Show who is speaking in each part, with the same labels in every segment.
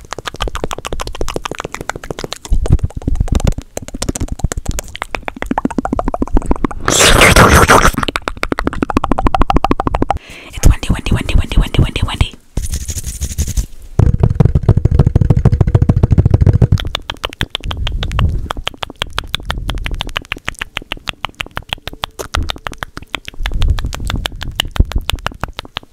Speaker 1: It's Wendy, Wendy, Wendy, Wendy, Wendy, Wendy, Wendy.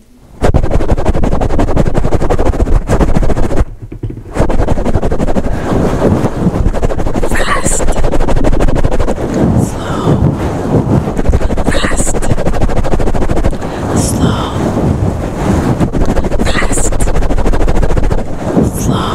Speaker 1: Fast, slow, fast, slow, fast, slow. Fast, slow,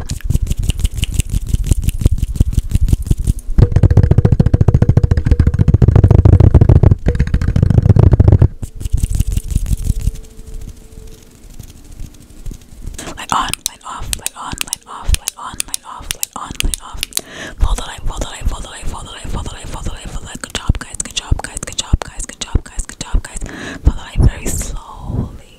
Speaker 1: Light on, light off, light on, light off, light on, light off, light on, light off. Follow the light, follow the light, follow the light, follow the light, follow the light, follow the light, follow the light. Good job, guys, good job, guys, good job, guys, good job, guys, good job, guys. Follow the light very slowly.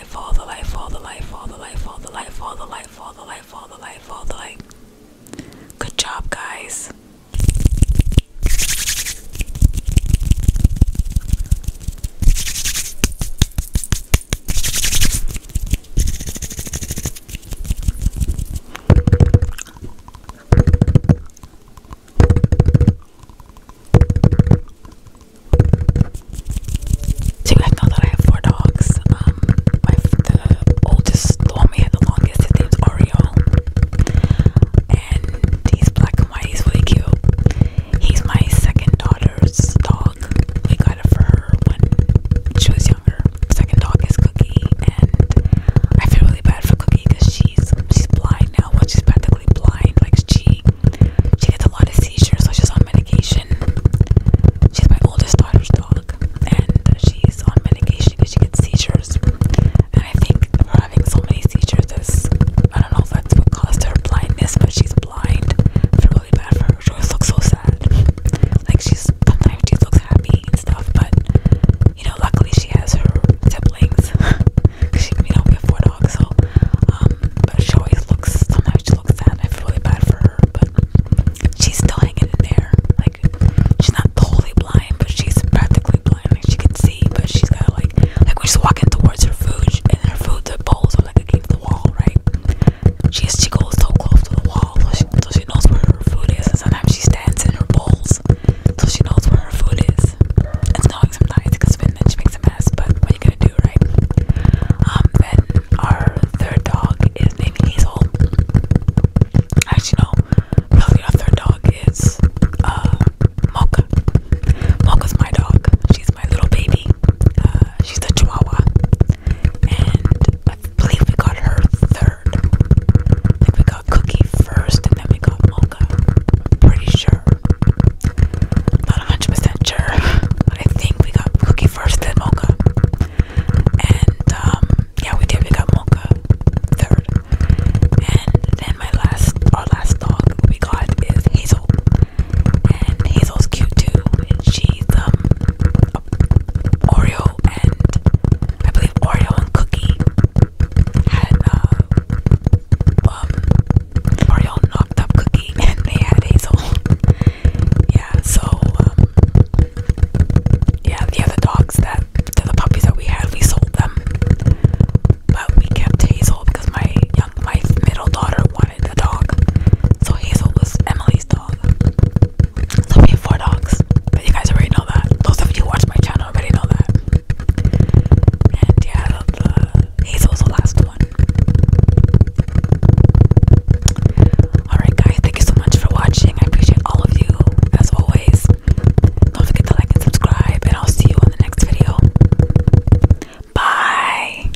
Speaker 1: life, all the life, all the life, all the life, all the life, all the life, all the life, all the life, all the life. Good job, guys. So you guys know that I have four dogs. Um, my oldest, longest, his name's Oriole, and he's black and white. He's really cute. He's my second daughter's dog. We got it for her when she was younger. Second dog is Cookie, and I feel really bad for Cookie because she's she's blind now. she's practically blind. Like she she gets a lot of seizures, so she's on medication. She's my oldest daughter's dog, and she's on medication because she gets seizures. And I think her having so many seizures is, I don't know if that's what caused her blindness, but she's blind. I really bad for her. She always looks so sad. Like, sometimes she looks happy and stuff, but you know, luckily she has her siblings because she, you know, we have four dogs, so um, but she always looks sometimes I feel really bad for her, but she's still hanging in there. Like she's not totally blind, but she's practically blind. she can see, but she's got like like we're just walking towards her food, she, and her food, the bowls are like against the wall, right? She has, she goes so close to the wall, so she, knows where her food is. And sometimes she stands in her bowls, so she knows where her food is. It's annoying sometimes because then she makes a mess. But what are you gonna um, then our third dog is named Hazel. Actually, no, really our third dog is uh, Mocha. Mocha's my dog. She's my little baby. Uh, she's a Chihuahua, and I believe we got her third. I we got Cookie first, and then we got Mocha. pretty sure. Not 100% sure, but I think we got cookie first, then mocha. And um, yeah, we did. We got mocha third. And then my last, our last dog we got is Hazel. And Hazel's cute too. And she's um, Oreo and I believe Oreo and Cookie had uh, um, Oreo knocked up cookie and they had hazel. yeah, so um, yeah, the other dogs that the puppies that we had, we sold them, but we kept Hazel because my young, my middle daughter wanted a dog, so Hazel was Emily's dog. So we have four dogs, you guys already know that. Those of you watch my channel already know that. And yeah, the Hazel's the last one. Alright, guys, thank you so much for watching. I appreciate all of you, as always. Don't forget to like and subscribe, and I'll see you on the next video. Bye.